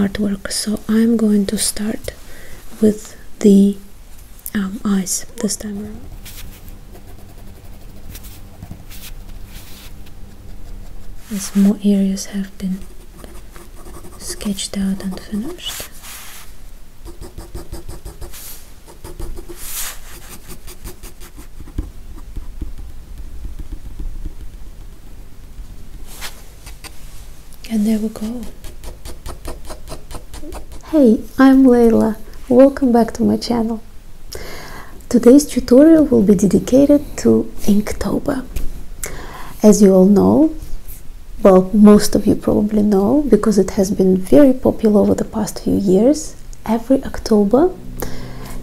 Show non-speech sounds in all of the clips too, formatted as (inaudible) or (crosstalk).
artwork so I'm going to start with the um, eyes this time around as more areas have been sketched out and finished and there we go. Hey, I'm Layla. Welcome back to my channel. Today's tutorial will be dedicated to Inktober. As you all know, well, most of you probably know, because it has been very popular over the past few years, every October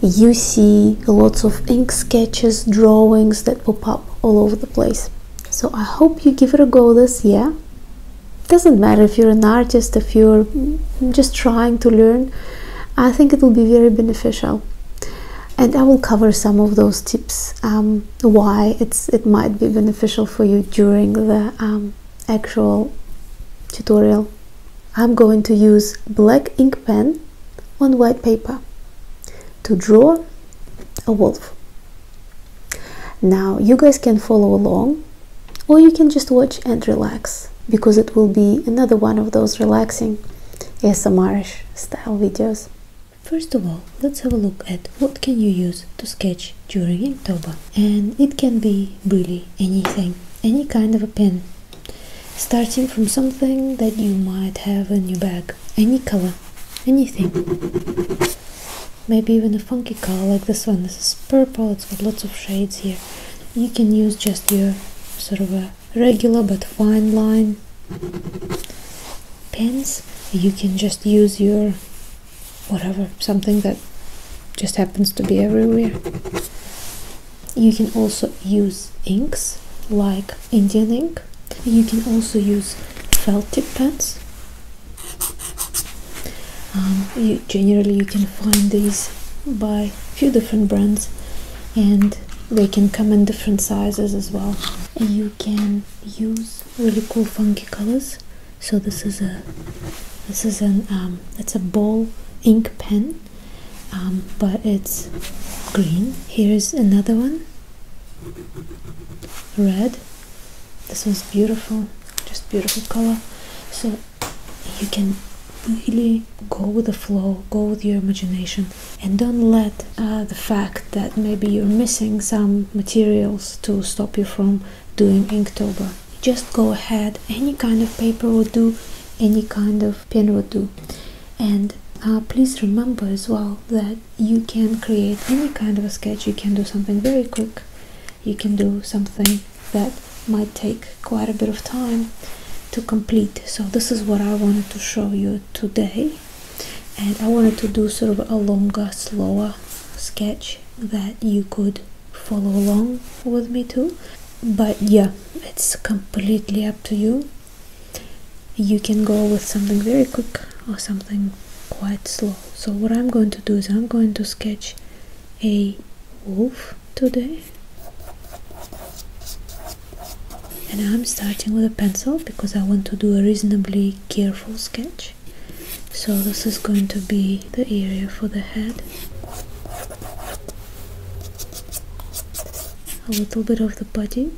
you see lots of ink sketches, drawings that pop up all over the place. So I hope you give it a go this year. Doesn't matter if you're an artist, if you're just trying to learn, I think it will be very beneficial. And I will cover some of those tips um, why it's it might be beneficial for you during the um, actual tutorial. I'm going to use black ink pen on white paper to draw a wolf. Now you guys can follow along or you can just watch and relax because it will be another one of those relaxing ASMRish style videos. First of all, let's have a look at what can you use to sketch during Inktober. And it can be really anything, any kind of a pen. Starting from something that you might have in your bag any color, anything. Maybe even a funky color like this one. This is purple, it's got lots of shades here. You can use just your sort of a regular but fine line pens. You can just use your whatever, something that just happens to be everywhere. You can also use inks like Indian ink you can also use felt tip pens. Um, generally, you can find these by a few different brands, and they can come in different sizes as well. you can use really cool, funky colors. So this is a this is an um, a ball ink pen, um, but it's green. Here is another one red this one's beautiful just beautiful color so you can really go with the flow go with your imagination and don't let uh, the fact that maybe you're missing some materials to stop you from doing inktober just go ahead any kind of paper will do any kind of pen will do and uh, please remember as well that you can create any kind of a sketch you can do something very quick you can do something that might take quite a bit of time to complete so this is what i wanted to show you today and i wanted to do sort of a longer slower sketch that you could follow along with me too but yeah it's completely up to you you can go with something very quick or something quite slow so what i'm going to do is i'm going to sketch a wolf today and i'm starting with a pencil because i want to do a reasonably careful sketch so this is going to be the area for the head a little bit of the body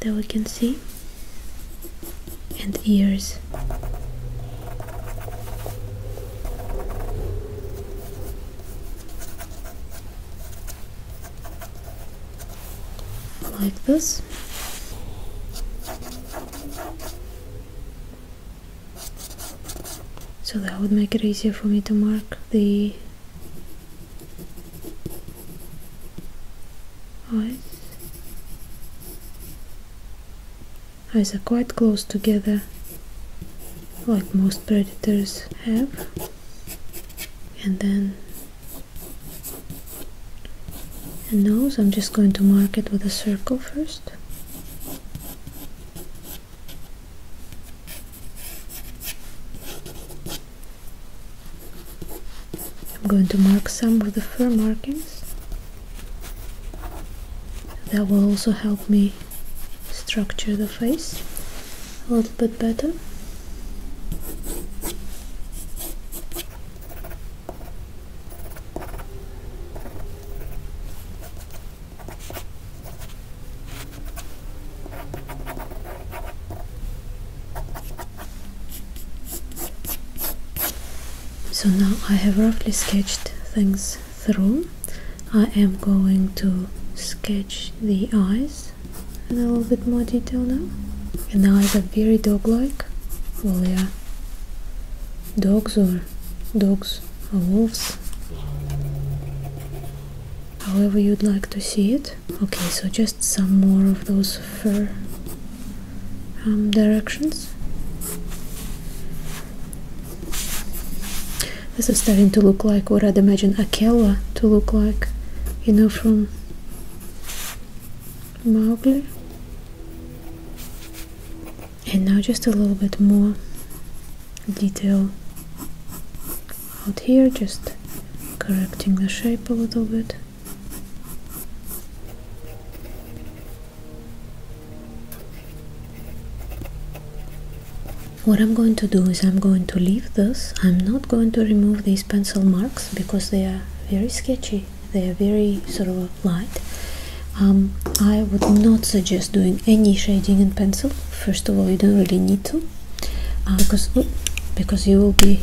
that we can see and ears like this so that would make it easier for me to mark the eyes are quite close together like most predators have and then a nose I'm just going to mark it with a circle first I'm going to mark some of the fur markings that will also help me structure the face a little bit better so now I have roughly sketched things through. I am going to sketch the eyes a little bit more detail now. And eyes are very dog-like. Well, yeah, dogs or dogs or wolves, however you'd like to see it okay so just some more of those fur um, directions this is starting to look like what I'd imagine Akela to look like you know from Mowgli and now just a little bit more detail out here just correcting the shape a little bit what I'm going to do is I'm going to leave this I'm not going to remove these pencil marks because they are very sketchy they are very sort of light um, I would not suggest doing any shading in pencil first of all you don't really need to Ah, because because you will be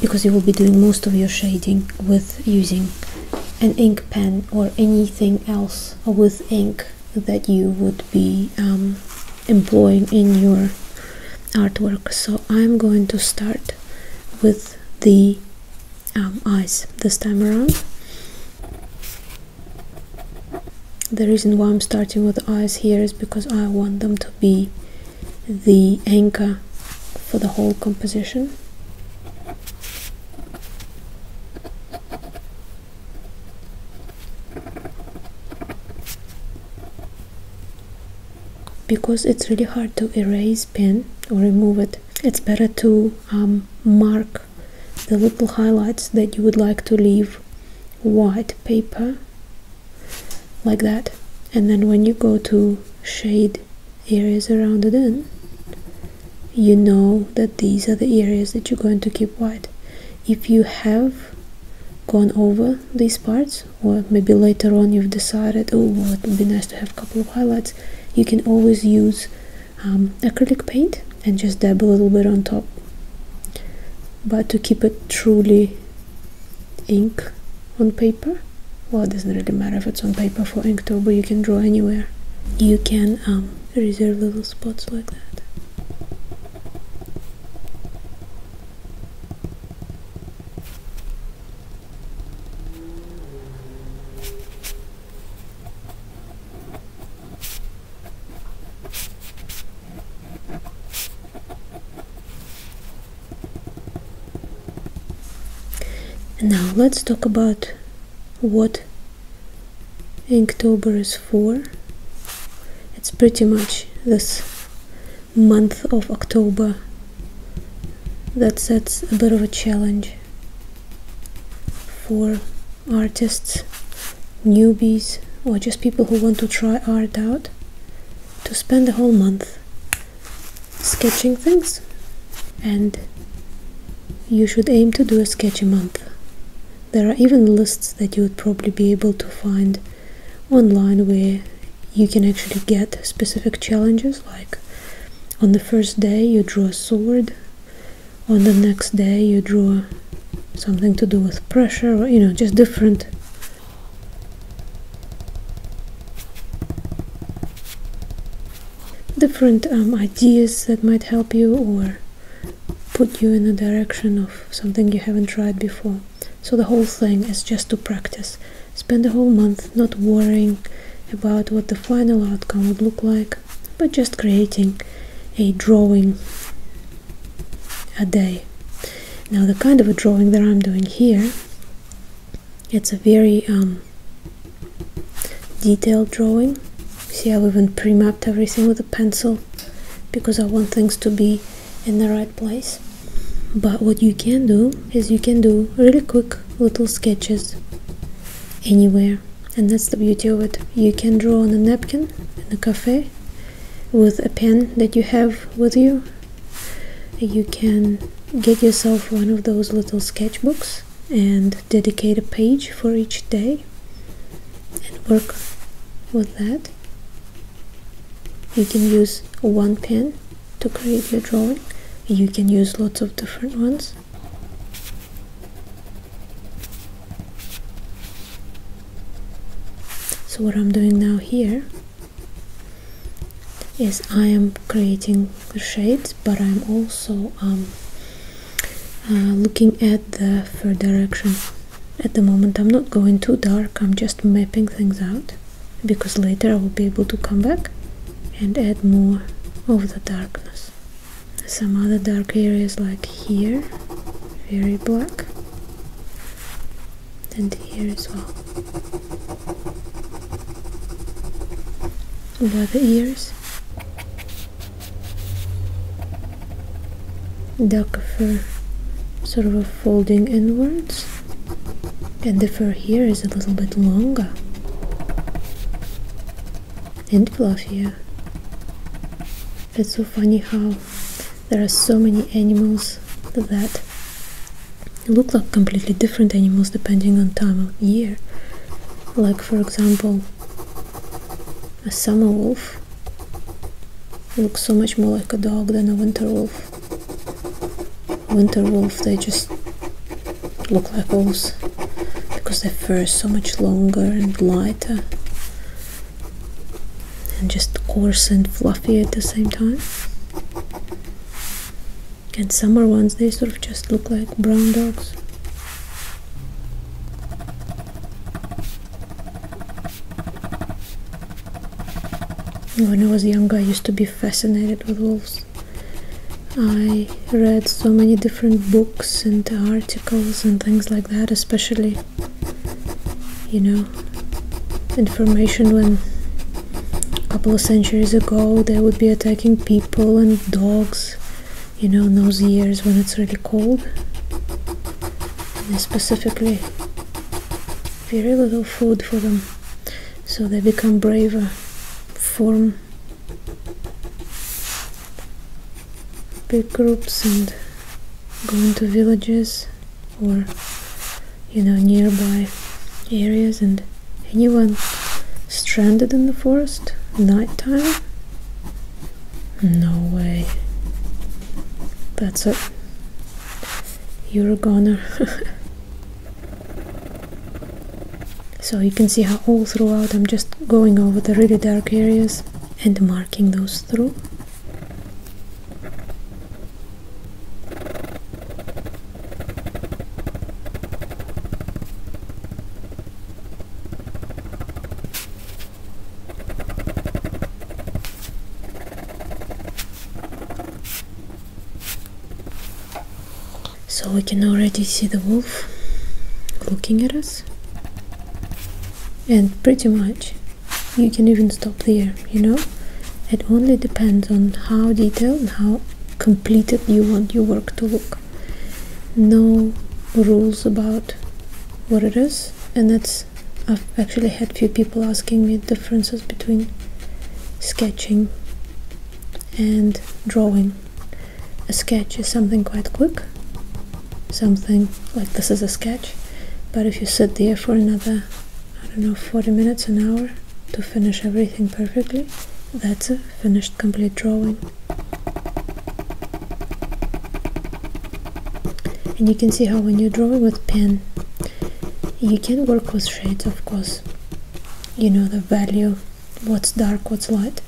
because you will be doing most of your shading with using an ink pen or anything else with ink that you would be um, employing in your artwork so I'm going to start with the um, eyes this time around the reason why I'm starting with the eyes here is because I want them to be the anchor for the whole composition. Because it's really hard to erase pen or remove it, it's better to um, mark the little highlights that you would like to leave white paper like that and then when you go to shade areas around the in you know that these are the areas that you're going to keep white if you have gone over these parts or maybe later on you've decided oh well, it would be nice to have a couple of highlights you can always use um, acrylic paint and just dab a little bit on top but to keep it truly ink on paper well it doesn't really matter if it's on paper for inktober you can draw anywhere you can um, reserve little spots like that now let's talk about what October is for. It's pretty much this month of October that sets a bit of a challenge for artists newbies or just people who want to try art out to spend a whole month sketching things and you should aim to do a sketch a month. There are even lists that you would probably be able to find online where you can actually get specific challenges like on the first day you draw a sword, on the next day you draw something to do with pressure, or, you know, just different different um, ideas that might help you or put you in a direction of something you haven't tried before. So the whole thing is just to practice. Spend a whole month not worrying about what the final outcome would look like, but just creating a drawing a day. Now the kind of a drawing that I'm doing here, it's a very um, detailed drawing. See, I've even pre-mapped everything with a pencil because I want things to be in the right place. But what you can do is you can do really quick little sketches anywhere. And that's the beauty of it. You can draw on a napkin in a cafe with a pen that you have with you you can get yourself one of those little sketchbooks and dedicate a page for each day and work with that you can use one pen to create your drawing you can use lots of different ones so what I'm doing now here is I am creating the shades but I'm also um, uh, looking at the fur direction at the moment I'm not going too dark I'm just mapping things out because later I will be able to come back and add more of the darkness some other dark areas like here very black and here as well over the ears duck fur sort of folding inwards and the fur here is a little bit longer and fluffier it's so funny how there are so many animals that look like completely different animals depending on time of year. Like for example, a summer wolf looks so much more like a dog than a winter wolf. Winter wolf, they just look like wolves because their fur is so much longer and lighter and just coarse and fluffy at the same time. And summer ones, they sort of just look like brown dogs. When I was younger, I used to be fascinated with wolves. I read so many different books and articles and things like that, especially you know information when a couple of centuries ago they would be attacking people and dogs you know in those years when it's really cold and specifically very little food for them so they become braver form big groups and go into villages or, you know nearby areas and anyone stranded in the forest nighttime? No way. That's it. You're a goner. (laughs) so you can see how all throughout I'm just going over the really dark areas and marking those through so we can already see the wolf looking at us and pretty much you can even stop there you know it only depends on how detailed and how completed you want your work to look no rules about what it is and that's I've actually had few people asking me differences between sketching and drawing a sketch is something quite quick something like this is a sketch but if you sit there for another I don't know 40 minutes an hour to finish everything perfectly that's a finished complete drawing and you can see how when you're drawing with pen you can work with shades of course you know the value what's dark what's light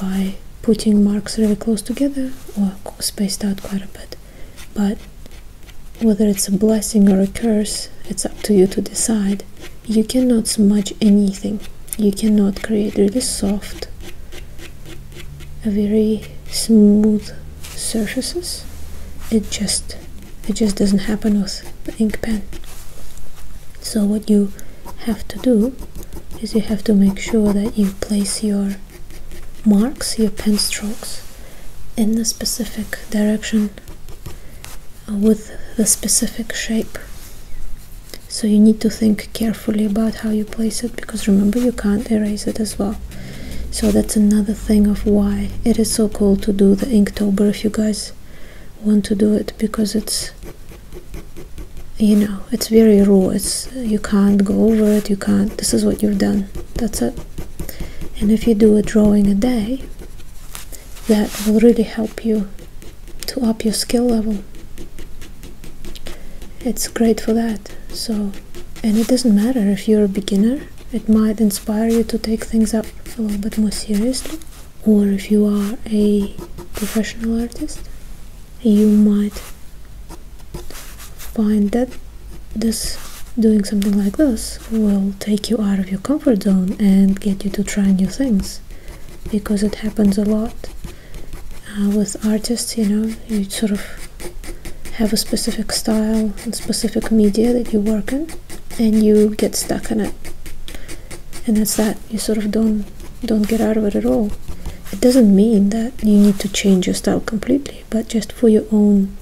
by putting marks really close together or spaced out quite a bit but whether it's a blessing or a curse, it's up to you to decide. You cannot smudge anything. You cannot create really soft, very smooth surfaces. It just it just doesn't happen with the ink pen. So what you have to do is you have to make sure that you place your marks your pen strokes in a specific direction uh, with the specific shape so you need to think carefully about how you place it because remember you can't erase it as well so that's another thing of why it is so cool to do the inktober if you guys want to do it because it's you know it's very raw it's you can't go over it you can't this is what you've done that's it and if you do a drawing a day that will really help you to up your skill level it's great for that so and it doesn't matter if you're a beginner it might inspire you to take things up a little bit more seriously or if you are a professional artist you might find that this doing something like this will take you out of your comfort zone and get you to try new things because it happens a lot uh, with artists you know you sort of have a specific style and specific media that you work in and you get stuck in it and that's that you sort of don't don't get out of it at all it doesn't mean that you need to change your style completely but just for your own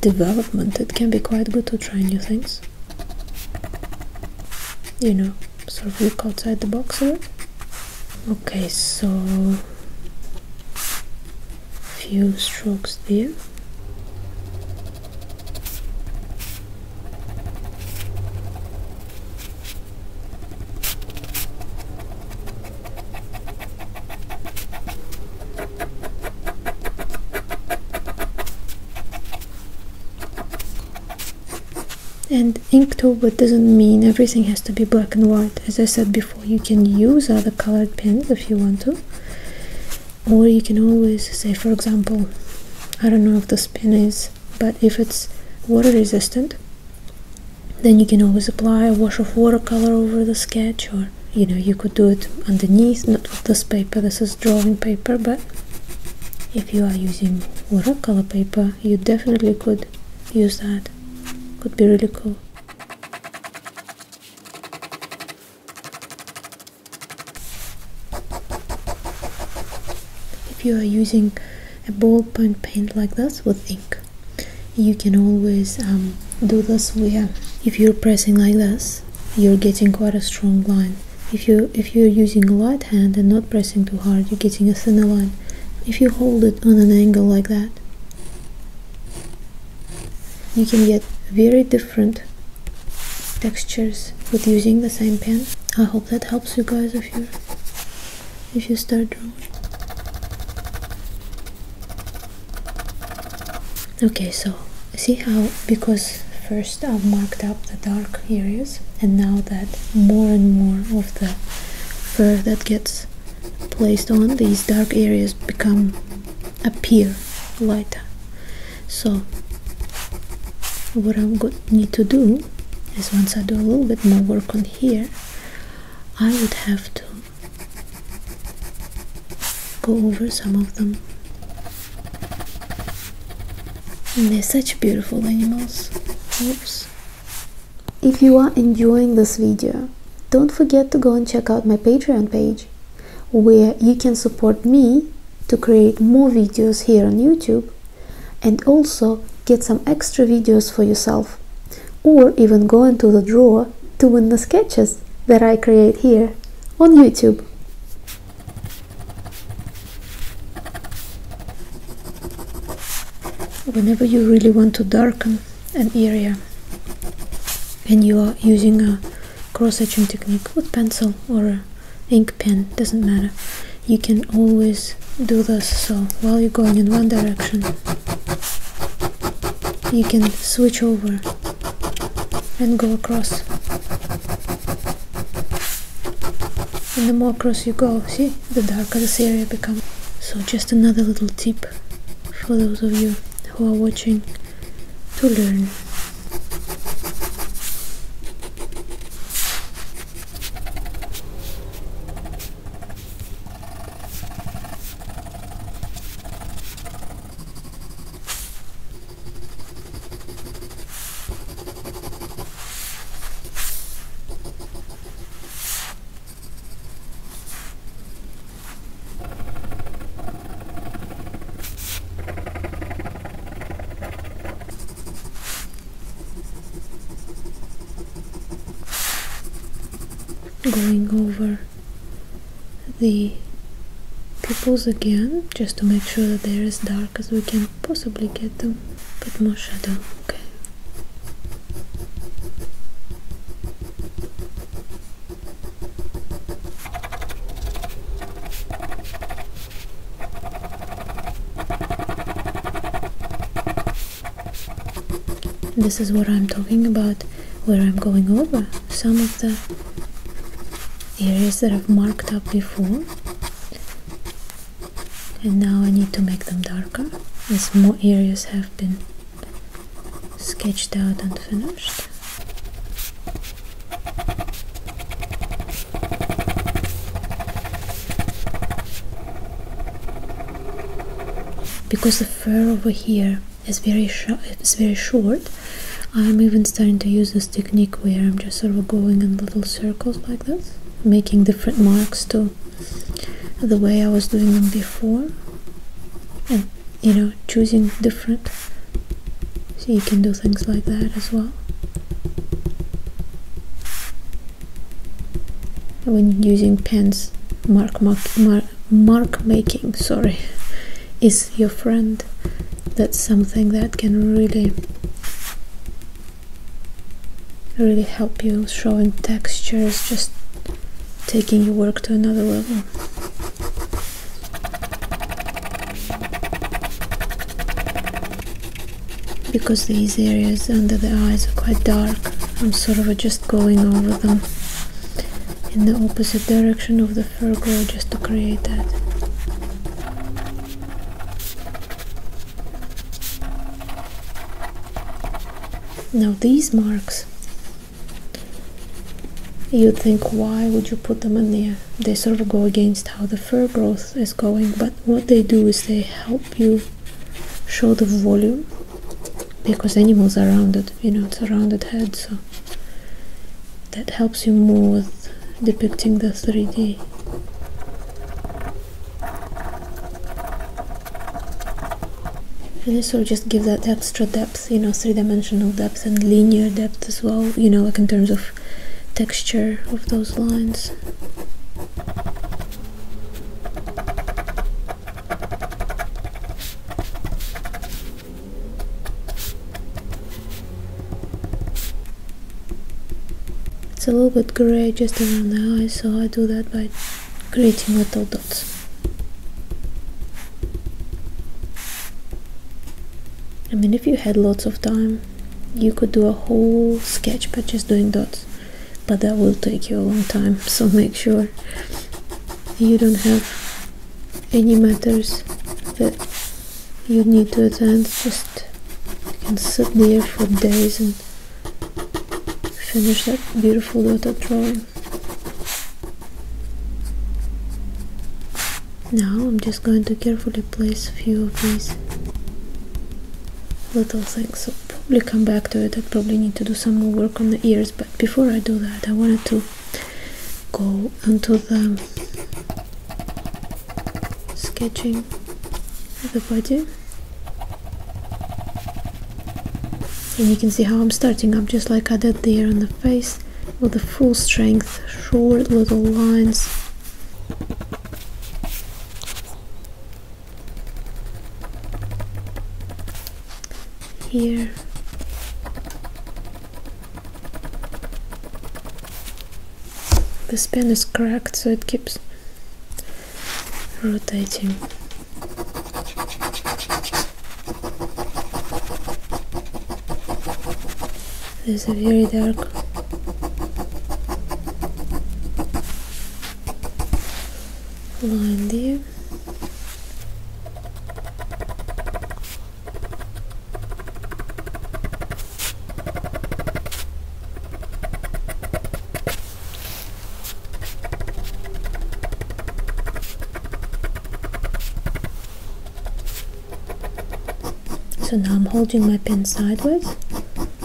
development, it can be quite good to try new things. You know, sort of look outside the box a Okay, so few strokes there. And Inktober doesn't mean everything has to be black and white. As I said before, you can use other colored pens if you want to. Or you can always say, for example, I don't know if this pen is, but if it's water resistant, then you can always apply a wash of watercolor over the sketch or you know you could do it underneath not with this paper this is drawing paper but if you are using watercolor paper you definitely could use that could be really cool if you are using a ballpoint pen like this with ink you can always um, do this where if you're pressing like this you're getting quite a strong line if you if you're using a light hand and not pressing too hard you're getting a thinner line if you hold it on an angle like that you can get very different textures with using the same pen I hope that helps you guys if you if you start drawing okay so see how because first I've marked up the dark areas and now that more and more of the fur that gets placed on these dark areas become appear lighter so what I'm going need to do is once I do a little bit more work on here I would have to go over some of them. And they're such beautiful animals. Oops. If you are enjoying this video, don't forget to go and check out my Patreon page, where you can support me to create more videos here on YouTube and also get some extra videos for yourself or even go into the drawer to win the sketches that I create here on YouTube. Whenever you really want to darken an area and you are using a cross-etching technique with pencil or a ink pen, doesn't matter, you can always do this so while you're going in one direction you can switch over and go across and the more across you go see the darker this area becomes so just another little tip for those of you who are watching to learn Going over the pupils again just to make sure that they're as dark as we can possibly get them but more shadow okay this is what I'm talking about where I'm going over some of the areas that I've marked up before and now I need to make them darker as more areas have been sketched out and finished because the fur over here it's very short i'm even starting to use this technique where i'm just sort of going in little circles like this making different marks to the way i was doing them before and you know choosing different so you can do things like that as well when using pens mark, mark, mark, mark making, sorry, is your friend. That's something that can really really help you showing textures, just taking your work to another level. Because these areas under the eyes are quite dark, I'm sort of just going over them in the opposite direction of the fur growth, just to create that. Now these marks, you think why would you put them in there? They sort of go against how the fur growth is going, but what they do is they help you show the volume because animals are rounded, you know, it's a rounded head, so that helps you more with depicting the 3D. And this just give that extra depth, you know, three-dimensional depth and linear depth as well, you know, like in terms of texture of those lines. It's a little bit grey just around the eyes, so I do that by creating little dots. I mean, if you had lots of time, you could do a whole sketch by just doing dots, but that will take you a long time, (laughs) so make sure you don't have any matters that you need to attend just you can sit there for days and finish that beautiful little drawing now I'm just going to carefully place a few of these little things so probably come back to it I probably need to do some more work on the ears but before I do that I wanted to go into the sketching of the body and you can see how I'm starting up just like I did there on the face with the full strength short little lines here this pen is cracked so it keeps rotating There's a very dark line there so now I'm holding my pen sideways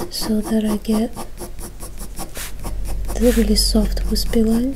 so that I get the really soft wispy line.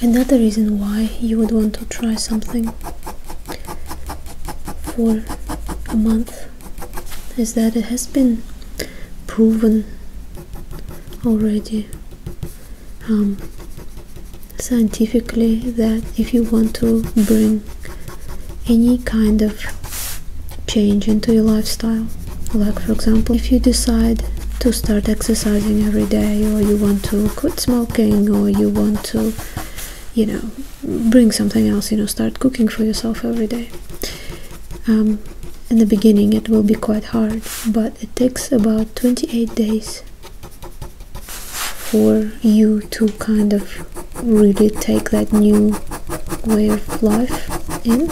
Another reason why you would want to try something for a month is that it has been proven already scientifically that if you want to bring any kind of change into your lifestyle like for example if you decide to start exercising every day or you want to quit smoking or you want to you know bring something else you know start cooking for yourself every day um, in the beginning it will be quite hard but it takes about 28 days for you to kind of really take that new way of life in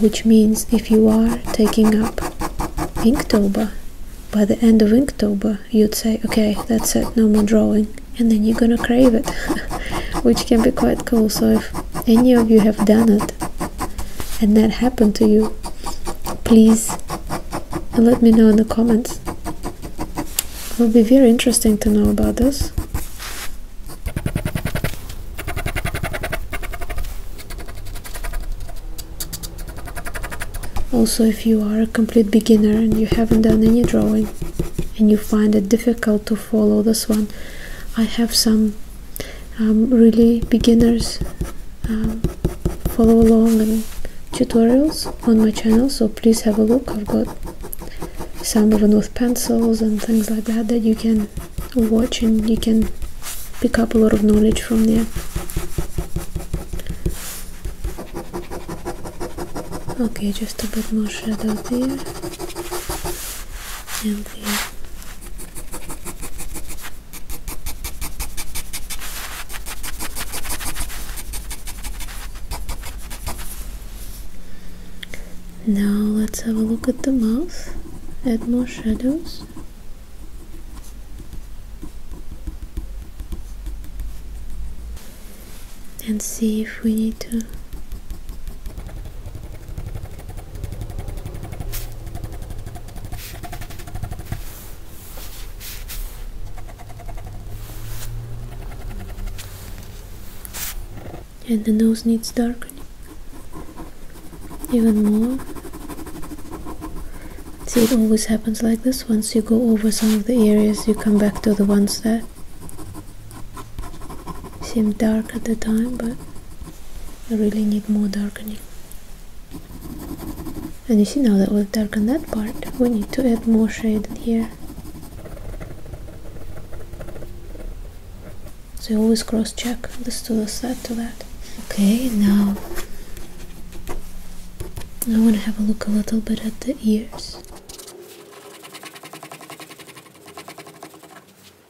which means if you are taking up Inktober by the end of Inktober you'd say okay that's it no more drawing and then you're gonna crave it (laughs) which can be quite cool so if any of you have done it and that happened to you please uh, let me know in the comments it will be very interesting to know about this also if you are a complete beginner and you haven't done any drawing and you find it difficult to follow this one I have some um, really beginners um, follow along and tutorials on my channel so please have a look I've got some even with pencils and things like that that you can watch and you can pick up a lot of knowledge from there okay just a bit more shadow there down Now let's have a look at the mouth, add more shadows. And see if we need to and the nose needs darkening even more see it always happens like this once you go over some of the areas you come back to the ones that seemed dark at the time but I really need more darkening and you see now that we've darkened that part we need to add more shade in here so you always cross check this to this that to that okay now I want to have a look a little bit at the ears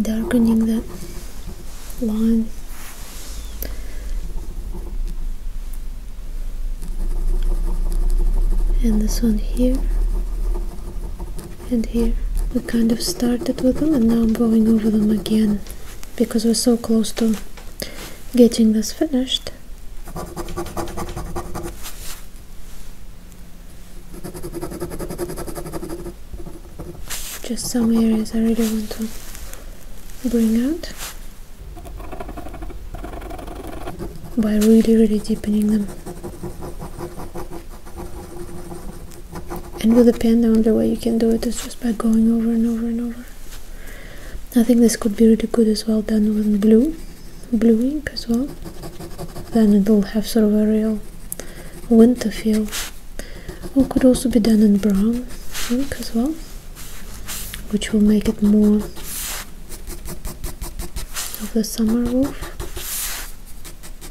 darkening the line and this one here and here we kind of started with them and now I'm going over them again because we're so close to getting this finished just some areas I really want to bring out by really really deepening them and will depend on the way you can do it is just by going over and over and over. I think this could be really good as well done with blue, blue ink as well. Then it will have sort of a real winter feel. Or could also be done in brown ink as well, which will make it more of a summer wolf.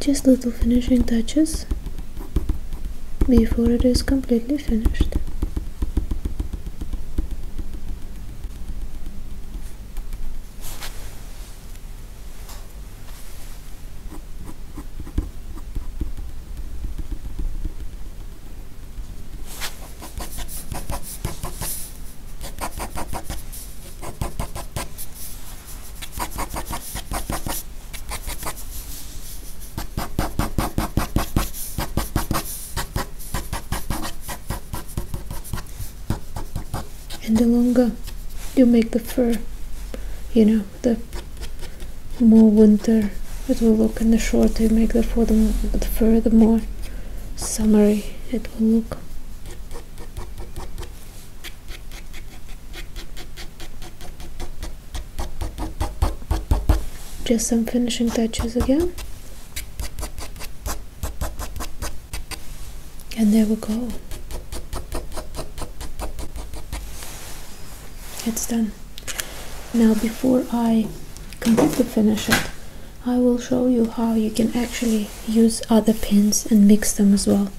Just little finishing touches before it is completely finished. and the longer you make the fur you know the more winter it will look and the shorter you make the fur the, the, more summery it will look just some finishing touches again. And there we go. It's done. Now before I completely finish it, I will show you how you can actually use other pins and mix them as well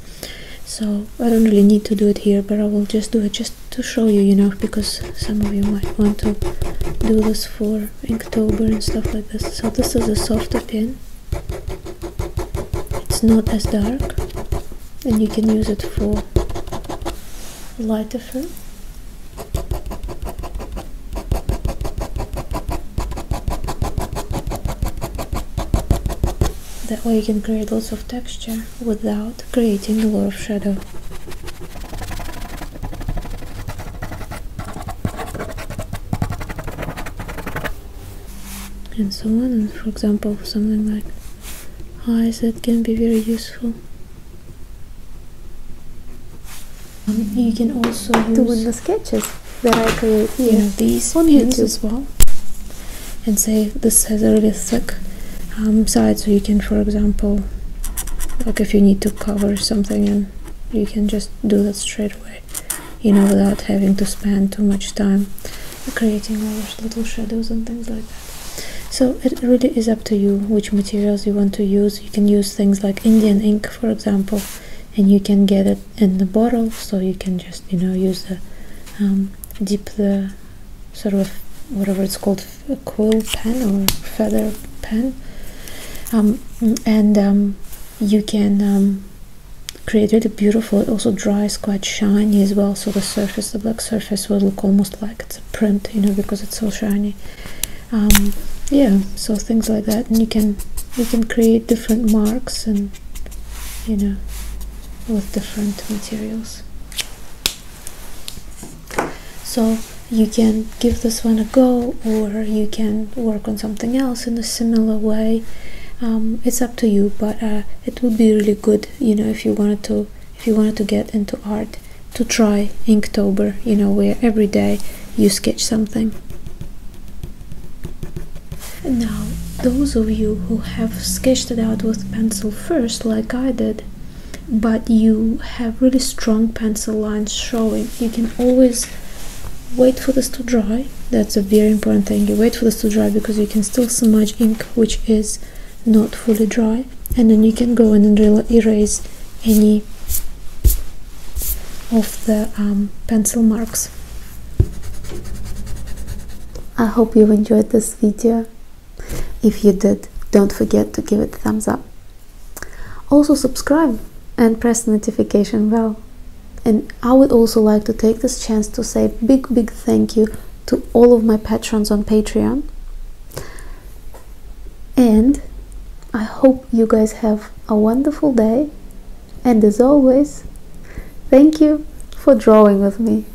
so I don't really need to do it here but I will just do it just to show you you know because some of you might want to do this for Inktober and stuff like this so this is a softer pin it's not as dark and you can use it for lighter film that way you can create lots of texture without creating a lot of shadow. And so on, and for example something like eyes that can be very useful. Um, you can also use... To win the sketches that I create here. these on as well. And say this has a really thick um, side, so you can, for example, like if you need to cover something and you can just do that straight away, you know, without having to spend too much time creating all those little shadows and things like that. So it really is up to you which materials you want to use. You can use things like Indian ink, for example, and you can get it in the bottle so you can just you know use the um, dip the sort of whatever it's called a quill pen or feather pen um, and um, you can create really beautiful it also dries quite shiny as well so the surface the black surface will look almost like it's a print you know because it's so shiny yeah so things like that and you can you can create different marks and you know with different materials so you can give this one a go or you can work on something else in a similar way um, it's up to you but uh, it would be really good you know if you wanted to if you wanted to get into art to try inktober you know where every day you sketch something now, those of you who have sketched it out with pencil first, like I did, but you have really strong pencil lines showing, you can always wait for this to dry. That's a very important thing. You wait for this to dry because you can still smudge ink which is not fully dry, and then you can go in and erase any of the um, pencil marks I hope you enjoyed this video. If you did, don't forget to give it a thumbs up. Also subscribe and press notification bell. And I would also like to take this chance to say big big thank you to all of my patrons on Patreon. And I hope you guys have a wonderful day and as always, thank you for drawing with me.